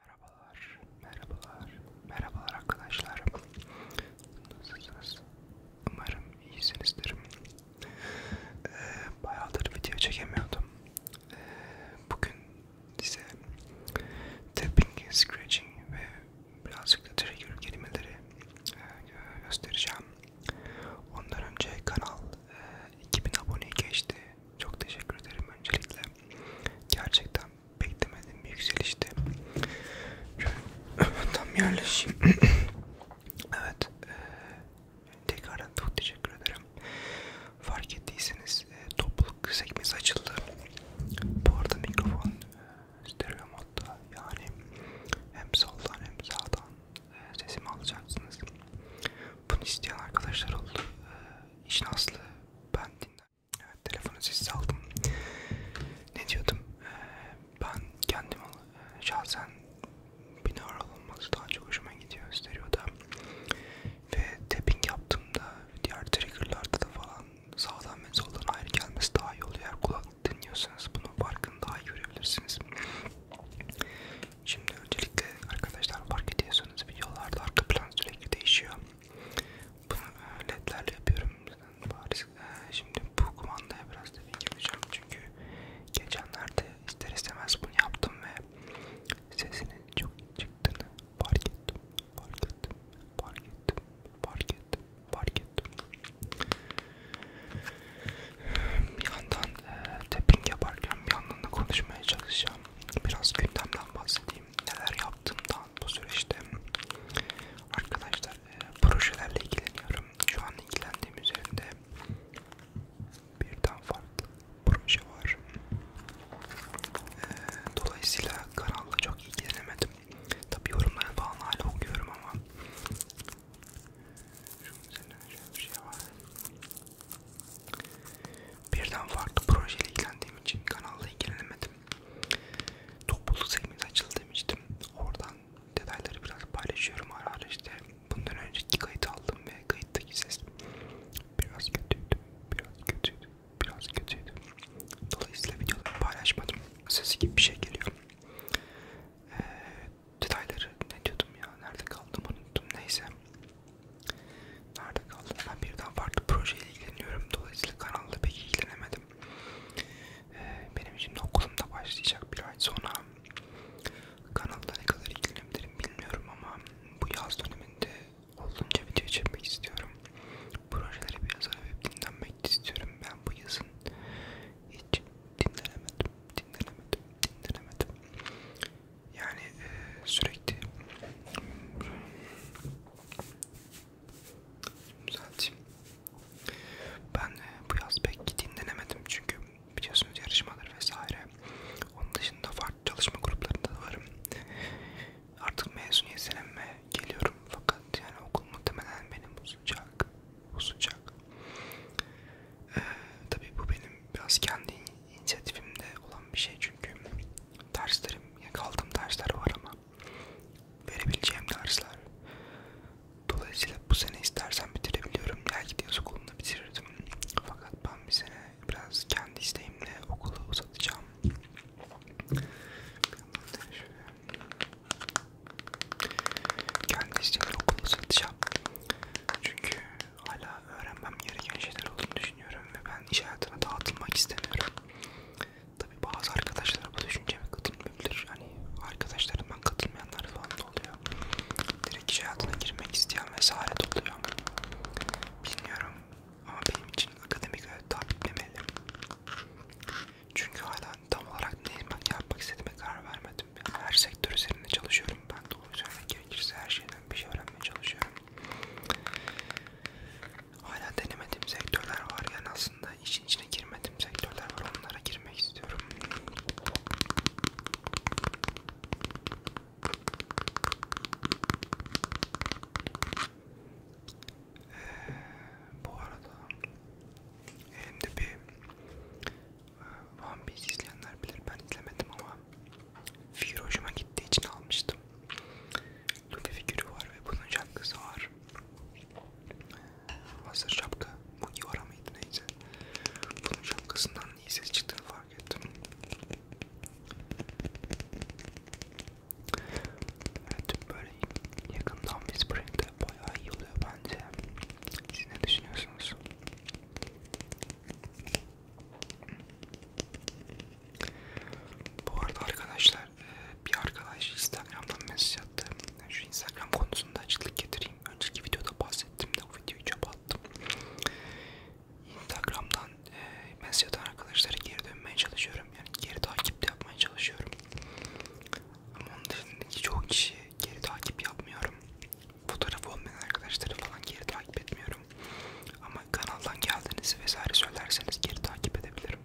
Merhabalar, merhabalar, merhabalar arkadaşlar. Nasılsınız? Umarım iyisinizdir. Ee, bayağıdır video çekemiyordum. Ee, bugün size tapping, scratching ve birazcık da trigger kelimeleri e, göstereceğim. Ondan önce kanal e, 2000 aboneye geçti. Çok teşekkür ederim öncelikle. Gerçekten beklemedim bir yükselişti. Tam yerleşeyim. evet. E, tekrardan çok teşekkür ederim. Fark ettiyseniz e, topluluk sekmesi açıldı. Bu arada mikrofon e, stereo modda yani hem soldan hem sağdan e, sesimi alacaksınız. Bunu isteyen arkadaşlar oldu. E, işin aslı ben dinledim anda. Evet, telefonu sessiz aldım. Ne diyordum? Ee, ben kendim e, şahsen binaural olması daha çok hoşuma gidiyor stereoda. Ve tapping yaptığımda diğer triggerlarda da falan sağdan ve soldan ayrı gelmesi daha iyi oluyor. Eğer kulak dinliyorsanız bunun farkını daha iyi görebilirsiniz. Şimdi öncelikle arkadaşlar fark ediyorsanız videolarda arka plan sürekli değişiyor. Bunu ledlerle yapıyorum. Bariz. Ee, şimdi bu kumandaya biraz tepki yapacağım çünkü geçenlerde ister istemez bunu yaptım ve sesinin çok çıktığını fark ettim. Fark ettim. Fark ettim. Fark ettim. Fark ettim. Bir yandan e, tapping yaparken bir yandan da konuşmaya çalışacağım. Biraz gündemden bahsedeyim. Neler yaptım yaptığımdan bu süreçte arkadaşlar e, projelerle ilgileniyorum. Şu an ilgilendiğim üzerinde birden farklı proje var. E, dolayısıyla kanalla çok ilgilenemedim. Tabi yorumları falan hala okuyorum ama şunun üzerine şöyle bir şey var. Birden farklı projeyle ilgilendiğim için kanalla ilgilenemedim. Topluluk sevimiz açıldı demiştim. Oradan detayları biraz paylaşıyorum ara ara işte. Bundan önceki kayıt aldım ve kayıttaki ses biraz kötüydü, biraz kötüydü, biraz kötüydü. Dolayısıyla videoları paylaşmadım. Sesi gibi bir şey geliyor. Ee, detayları ne diyordum ya nerede kaldım unuttum neyse Nerede kaldım? Ben birden farklı projeyle ilgileniyorum. Dolayısıyla kanalda pek ilgilenemedim. Ee, benim şimdi okulum da başlayacak bir ay sonra. Kanalda ne kadar ilgilenebilirim bilmiyorum ama bu yaz döneminde olduğunca video çekmek istiyorum. Projelere biraz arayıp dinlenmek istiyorum. Ben bu yazın hiç dinlenemedim, dinlenemedim, dinlenemedim. Yani e, sürekli Düzelteyim. Ben e, bu yaz pek dinlenemedim çünkü biliyorsunuz yarışmalar vesaire. Onun dışında farklı çalışma gruplarında da varım. Artık mezuniyet seneme geliyorum fakat yani okul muhtemelen benim uzayacak. Uzayacak. Ee, tabii bu benim biraz kendi inisiyatifimde olan bir şey çünkü derslerim, yani kaldığım dersler var ama verebileceğim dersler. Dolayısıyla bu sene istersen bitirebiliyorum. Belki de yaz okulunda bitirirdim. Fakat ben bir sene biraz kendi isteğimle okulu uzatacağım. Kendi isteğimle okulu uzatacağım. Çünkü hala öğrenmem gereken şeyler olduğunu düşünüyorum ve ben iş hayatına dağıtılmak istemiyorum. Tabi bazı arkadaşlar bu düşünceme katılmayabilir. Hani arkadaşlarımdan katılmayanlar falan da oluyor. Direkt iş hayatına girmek isteyen vesaire de oluyor. Bilmiyorum ama benim için akademik hayat takip etmeli. Çünkü hala tam olarak neyim ben yapmak istediğime karar vermedim. Yani her sektör üzerinde çalışıyorum ben. Doğru söylemek gerekirse her şeyden bir şey öğrenmeye çalışıyorum. Hala denemediğim sektörler var yani aslında işin içine girmediğim sektörler var onlara girmek istiyorum. Ee, bu arada elimde bir e, One Piece izleyenler bilir ben izlemedim ama Figür hoşuma gittiği için almıştım. Luffy figürü var ve bunun şapkası var. Hazır şapka. Bu yuvara mıydı neyse. Bunun şapkasından iyi ses çıktığını fark ettim. Evet böyle yakından Whispering'de bayağı iyi oluyor bence. Siz ne düşünüyorsunuz? Bu arada arkadaşlar e, bir arkadaş Instagram'dan mesaj attı. Şu Instagram konusunda açıklık getireyim. Önceki videoda bahsettim de o videoyu çöpe attım. Instagram'dan e, mesaj atan arkadaşlara geri dönmeye çalışıyorum. Yani geri takip de yapmaya çalışıyorum. Ama onun dışındaki çoğu kişi geri takip yapmıyorum. Fotoğraf olmayan arkadaşları falan geri takip etmiyorum. Ama hangi kanaldan geldiğinizi vesaire söylerseniz geri takip edebilirim.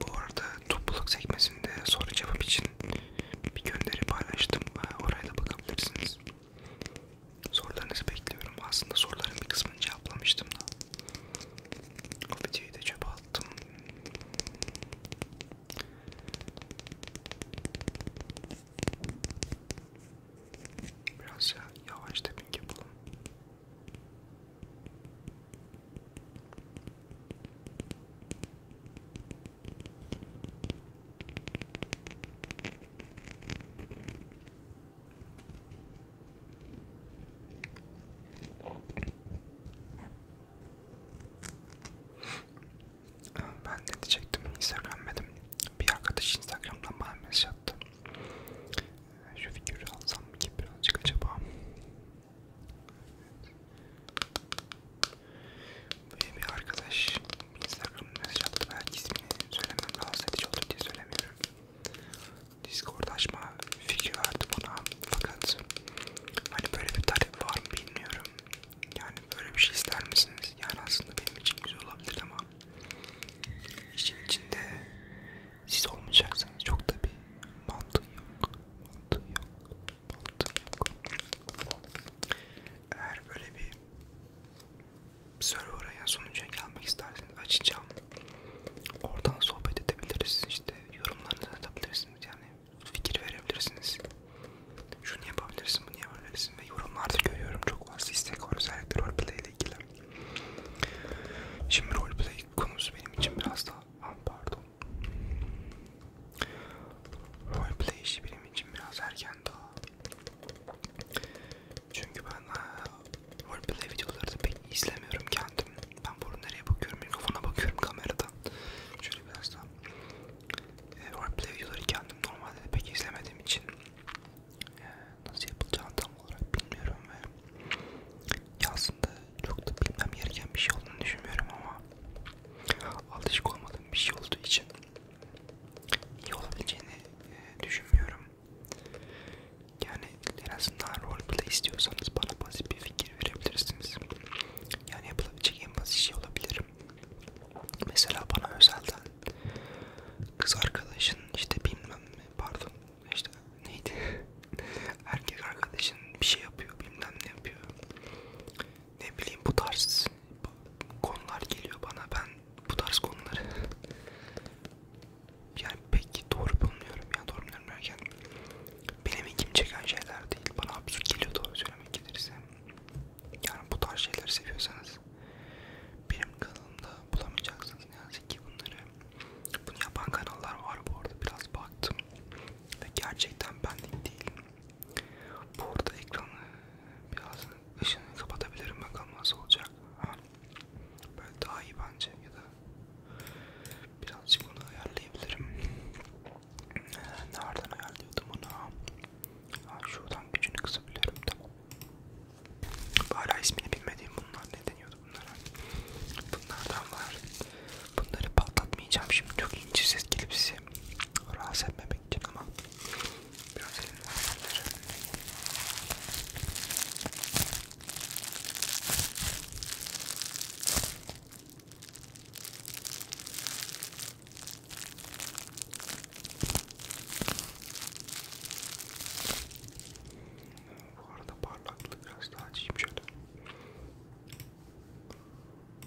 Bu arada topluluk sekmesinde soru cevap için bir gönderi paylaştım. Oraya da bakabilirsiniz. Sorularınızı bekliyorum. Aslında soruların bir kısmını cevaplamıştım da. O videoyu da çöpe attım. Biraz ya, yavaş tepinki yapalım ben ne diyecektim Instagram dedim. Bir arkadaş Instagram'dan bana mesaj attı. Ee, şu figürü alsam mı ki birazcık acaba? Böyle bir arkadaş Instagram'dan mesaj attı. Belki ismini söylemem rahatsız edici olur diye söylemiyorum. Discord açma fikri verdi bana fakat hani böyle bir talep var mı bilmiyorum. Yani böyle bir şey ister misiniz? Yani aslında benim için güzel olabilir ama işin içinde siz olmayacaksanız çok da bir mantığı yok. Mantığı yok. Mantığı yok. Eğer böyle bir server'a ya sonuca gelmek isterseniz açacağım. Oradan sohbet edebiliriz. İşte yorumlarınızı atabilirsiniz. Yani fikir verebilirsiniz şunu yapabilirsin, bunu yapabilirsin ve yorumlarda görüyorum çok fazla istek var özellikle roleplay ile ilgili. Şimdi roleplay konusu benim için biraz daha, ah, pardon. Roleplay işi benim için biraz erken daha. Çünkü ben ah, roleplay videoları da pek izlemiyorum kendim. Ben bunu nereye bakıyorum, mikrofona bakıyorum kameradan. Şöyle biraz daha. E, roleplay videoları kendim normalde pek izlemediğim için nasıl yapılacağını tam olarak bilmiyorum ve aslında çok da bilmem gereken bir şey olduğunu düşünmüyorum ama alışık olmadığım bir şey olduğu için iyi olabileceğini e, düşünmüyorum. Yani en azından roleplay istiyorsanız bana basit bir fikir verebilirsiniz. Yani yapılabilecek en basit şey olabilir. Mesela bana özelden kız arkadaşın işte bilmem ne pardon işte neydi erkek arkadaşın bir şey yapıyor bilmem ne yapıyor ne bileyim bu tarz konular geliyor bana ben bu tarz konuları yani pek doğru bulmuyorum ya doğru bulmuyorum derken benim ilgimi çeken şeyler değil bana absürt geliyor doğru söylemek gelirse yani bu tarz şeyleri seviyorsanız bulabilirsiniz. Benim kanalımda bulamayacaksınız ne yazık ki bunları. Bunu yapan kanallar var bu arada biraz baktım ve gerçekten benlik değil. Bu arada ekranı biraz ışını kapatabilirim bakalım nasıl olacak. Ha. Böyle daha iyi bence ya da birazcık bunu ayarlayabilirim. Ee, nereden ayarlıyordum onu? Ha, şuradan gücünü kısabiliyorum tamam. Hala ismini bilmediğim bunlar ne deniyordu bunlara? Bunlardan var. Bunları patlatmayacağım şimdi çok ince ses gelip sizi rahatsız etmemek için ama biraz elimden bunları. Bu arada parlaklığı biraz daha açayım şöyle.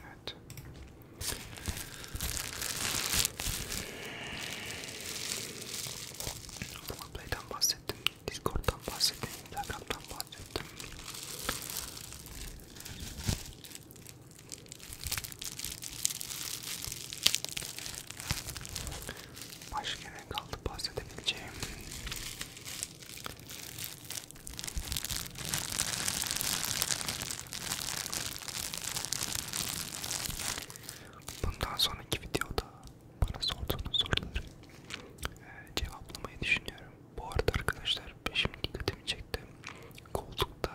Evet. Roleplay'den bahsettim, Discord'dan bahsettim, Telegram'dan bahsettim. Başka ne kaldı bahsedebileceğim? Bundan sonraki videoda bana sorduğunuz soruları e, cevaplamayı düşünüyorum. Bu arada arkadaşlar peşim dikkatimi çekti. Koltukta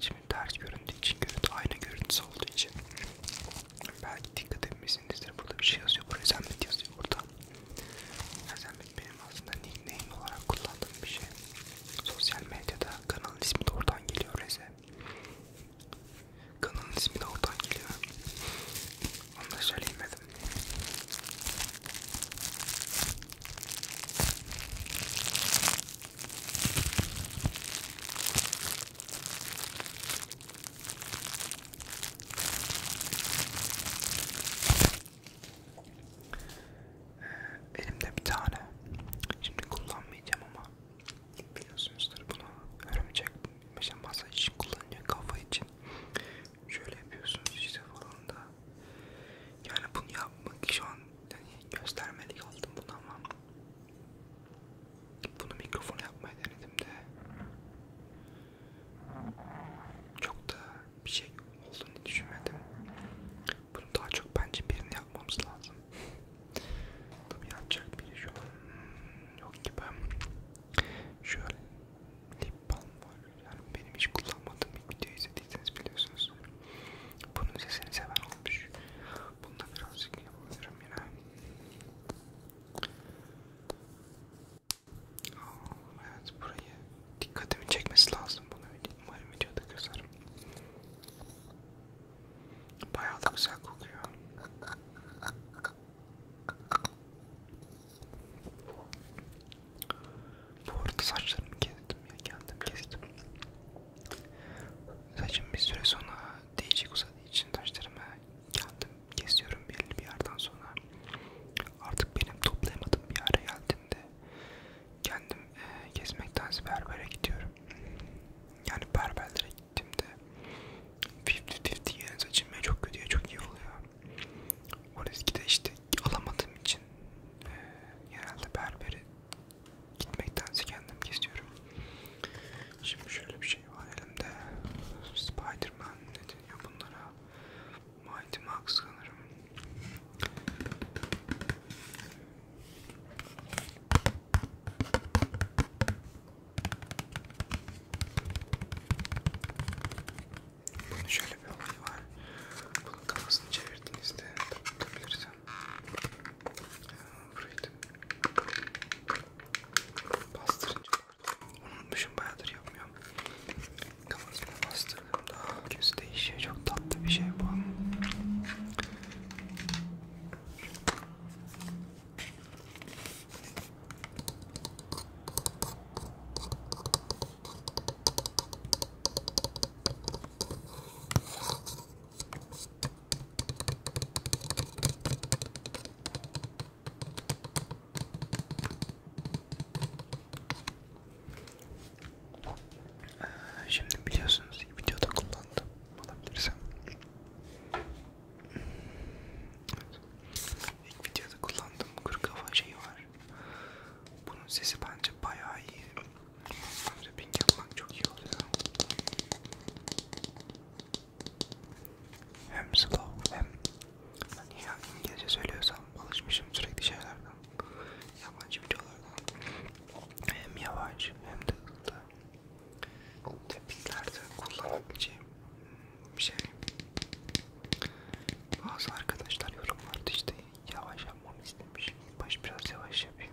şimdi ters göründüğü için görüntü aynı görüntüsü olduğu için belki dikkat etmişsinizdir burada bir şey yazıyor bu rezamet yazıyor burada rezamet benim aslında nickname olarak kullandığım bir şey sosyal medyada kanalın ismi de oradan geliyor reze kanalın ismi de oradan geliyor onu da söyleyemedim Elimde bir tane. Şimdi kullanmayacağım ama biliyorsunuzdur bunu örümcek mesela masa için kullanılıyor kafa için. Şöyle yapıyorsunuz işte falan da. Yani bunu yapmak şu an yani göstermelik aldım bunu ama bunu mikrofona yapmayı denedim de çok da bir şey olduğunu düşünmedim. Bunu daha çok bence birini yapmamız lazım. Tabii yapacak biri şu an hmm, yok gibi. Şöyle lip balm var. Yani benim hiç kullanmadığım bir video izlediyseniz biliyorsunuz. Bunun sesini seven olmuş. Bunda birazcık yapabilirim yine. Oh, evet burayı dikkatimi çekmesi lazım bunu umarım videoda gözerim. Bayağı da güzel kokuyor. Bu arada saçlarımı kestim ya geldim kestim. Saçım bir süre sonra değişik uzadığı için taşlarımı kendim kesiyorum belli bir yerden sonra. Artık benim toplayamadığım bir yere geldiğinde kendim e, kesmektense berbere gidiyorum. Yani berberlere gittiğimde 50-50 yerine saçım ya çok kötüye çok iyi oluyor. O riski de işte alamadığım için e, genelde berberi gitmektense kendim geziyorum. Şimdi şöyle bir şey var elimde. Spiderman ne deniyor bunlara? Mighty Max sanırım. Bunun şöyle bir olayı var. Bunun kafasını çevirdiğinizde tutabilirsen Buraydı. Bastırınca unutmuşum bayağıdır yapmıyorum. Kafasına bastırdığımda göz değişiyor. Çok tatlı bir şey bu. Şimdi biliyorsunuz ki videoda kullandım alabilirsem. Evet. İlk videoda kullandığım kuru kafa şeyi var. Bunun sesi bence bayağı iyi. Rapping yapmak çok iyi oluyor. Hem slow hem niye hani İngilizce söylüyorsam alışmışım sürekli şeylerden, yabancı videolardan. Hem yavaş hem de hızlı. Tepkilerde kullanabileceğim hmm, bir şey. Bazı arkadaşlar yorumlarda işte yavaş yapmamı istemiş. Baş biraz yavaş yapayım.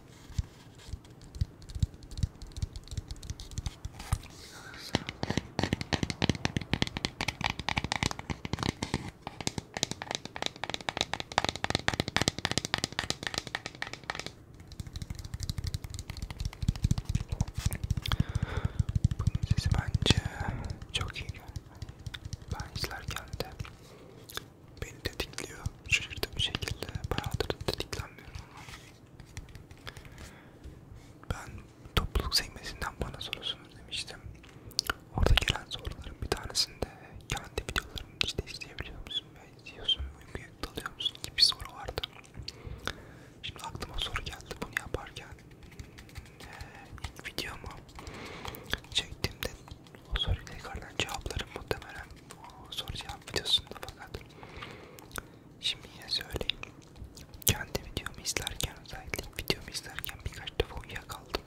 Bunun sesi bence çok iyi geldi. Ben izlerken de beni tetikliyor. Şaşırtıcı bir şekilde bayağıdır tetiklenmiyorum ama ben topluluk sekmesinden bana sorusunuz demiştim. Orada gelen soruların bir tanesinde kendi videolarımı işte izleyebiliyor musun ve izliyorsun uykuya dalıyor musun gibi bir soru vardı. Şimdi aklıma soru geldi bunu yaparken ee, ilk videomu çektiğimde o soruyla yukarıdan cevaplarım muhtemelen o soru cevap videosunda fakat Şimdi yine söyleyeyim. Kendi videomu izlerken özellikle videomu izlerken birkaç defa uyuyakaldım.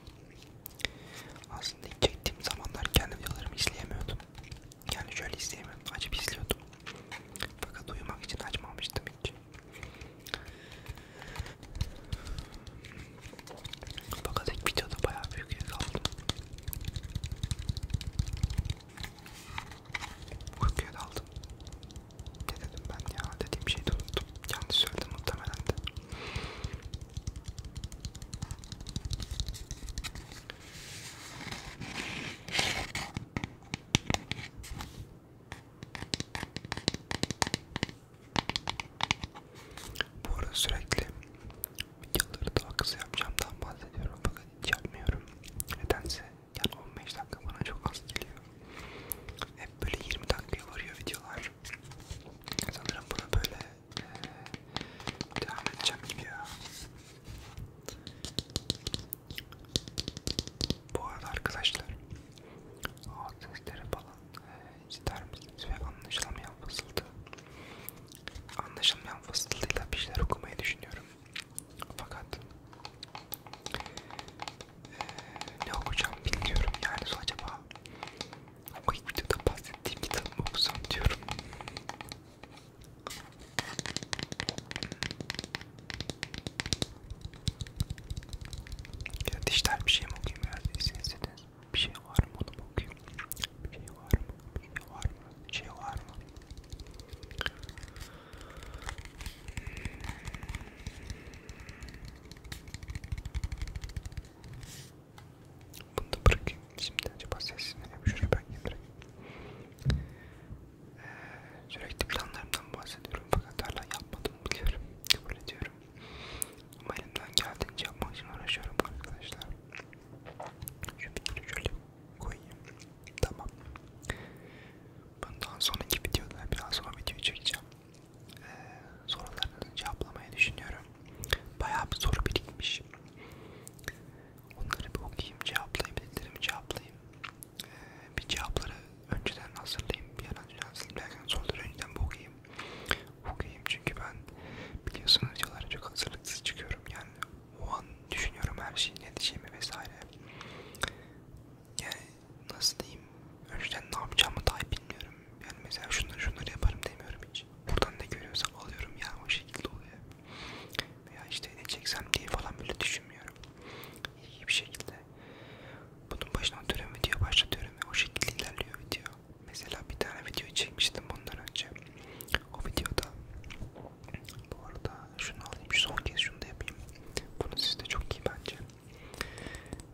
Aslında ilk çektiğim zamanlar kendi videolarımı izleyemiyordum. Yani şöyle izleyemiyordum. Açıp izliyordum. Fakat uyumak için açmamıştım hiç. Fakat ilk videoda bayağı büyük uyuyakaldım. Uykuya daldım. Ne dedim ben ya? Dediğim şeyi de unuttum. Yanlış söyledim muhtemelen de. Bu arada sürekli videoları daha kısa yapacağımdan bahsediyorum fakat hiç yapmıyorum. Nedense yani 15 dakika bana çok az geliyor. Hep böyle 20 dakikaya varıyor videolar. Sanırım buna böyle ee, devam edeceğim gibi ya. Bu arada arkadaşlar o sesleri falan e, ister misiniz ve anlaşılamayan fısıltı anlaşılmayan fısıltıyla bir şeyler okumayı düşünüyorum fakat e, ne okuyacağım bilmiyorum yani so acaba o ilk videoda bahsettiğim kitabı mı okusam diyorum. Ya dişler bir şey mi okuyayım ya? İzin istediniz. Bir şey var mı onu mu okuyayım? Bir şey var mı? şey var mı? Şey var mı? Bunu da bırakayım. Şimdi acaba sesini şuraya ben getireyim. Ee, sürekli planlarımdan bahsediyorum fakat hala yapmadım biliyorum. Kabul ediyorum. Ama elimden geldiğince yapmak için uğraşıyorum arkadaşlar. Şu bitini şöyle koyayım. Tamam. Bundan sonraki videoda biraz sonra video çekeceğim. Ee, sorularınızı cevaplamayı düşünüyorum. Bayağı bir soru birikmiş. Onları bir okuyayım, cevaplayayım, dediklerimi cevaplayayım. Ee, bir cevapları önceden hazırlayayım. Bir an önce hazırlayayım. Soruları önceden bir okuyayım. Okuyayım çünkü ben biliyorsunuz videolara çok hazırlıksız çıkıyorum. Yani o an düşünüyorum her şeyi ne diyeceğimi vesaire. Yani nasıl diyeyim? Önceden ne yapacağımı dahi bilmiyorum. Yani mesela şunları şunları yaparım demiyorum hiç. Buradan ne görüyorsam alıyorum yani o şekilde oluyor. Veya işte ne çeksem diye falan böyle düşünmüyorum. İyi bir şekilde. Bunun başına oturuyorum video başlatıyorum ve o şekilde ilerliyor video. Mesela bir tane video çekmiştim bundan önce. O videoda bu arada şunu alayım, şu son kez şunu da yapayım. Bunu sizde çok iyi bence.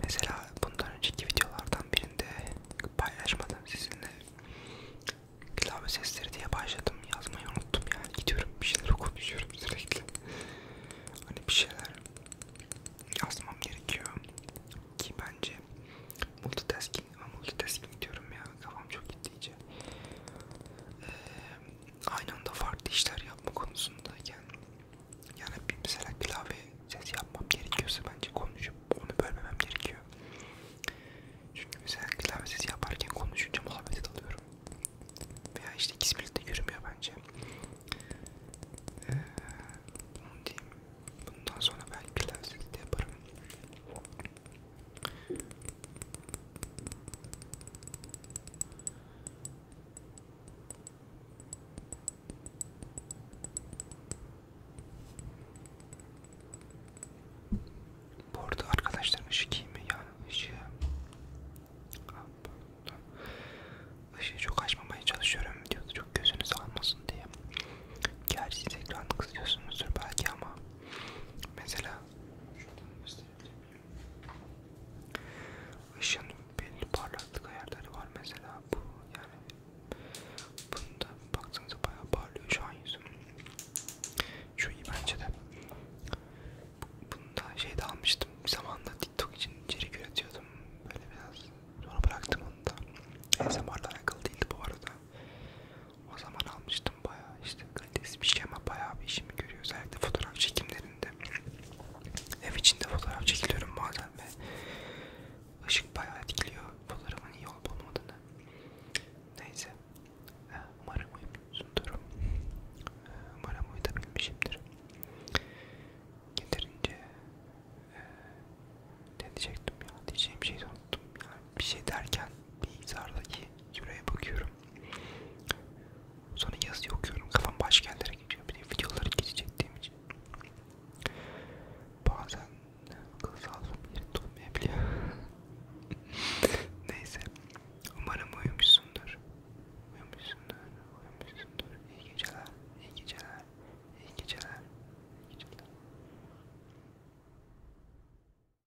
Mesela bundan önceki videolardan birinde paylaşmadım sizinle. Klavye sesleri diye başladım, yazmayı unuttum yani. Gidiyorum bir şeyler konuşuyorum sürekli. Hani bir şeyler yazmam gerekiyor ki bence multitasking ama multitasking diyorum ya kafam çok gitti iyice e, aynı anda farklı işler yapma konusundayken yani mesela klavye ses yapmam gerekiyorsa bence konuşup onu bölmemem gerekiyor. Çünkü mesela klavye sesi yaparken konuşunca muhabbet alıyorum. Veya işte ikisi birlikte yürümüyor bence. Ee, onu diyeyim. Bundan sonra belki klavye sesi de yaparım. Bu arada arkadaşlarım ışık iyi mi? Yani ışığı... Işığı çok açmamaya çalışıyorum videoda çok gözünüz almasın diye. Gerçi siz ekranı kızıyorsunuzdur belki ama mesela Şuradan gösterebilir miyim? Işın belli parlaklık ayarları var mesela bu yani bunda baktığınızda bayağı parlıyor şu an yüzüm. Şu iyi bence de. Bunda şey de almıştım bir zamanda TikTok için içerik üretiyordum böyle biraz sonra bıraktım onu da. ASMR'la alakalı değildi bu arada. O zaman almıştım bayağı işte kalitesi bir şey ama bayağı bir işimi görüyor. Özellikle fotoğraf çekimlerinde. Ev içinde fotoğraf çekiliyorum bazen ve ışık bayağı etkiliyor fotoğrafın iyi olup olmadığını. Neyse. Umarım uyumuşsundur. Umarım uyutabilmişimdir. Getirince e, ne diyecektim ya? Diyeceğim şey son unuttum yani bir şey derken bilgisayardaki süreye bakıyorum. Sonra yazıyı okuyorum. Kafam başka yerlere gidiyor. Bir de videoları geçeceğim için. Bazen akıl sağlığım yerinde olmayabiliyor. Neyse. Umarım uyumuşsundur. Uyumuşsundur. Uyumuşsundur. İyi geceler. İyi geceler. İyi geceler. İyi geceler.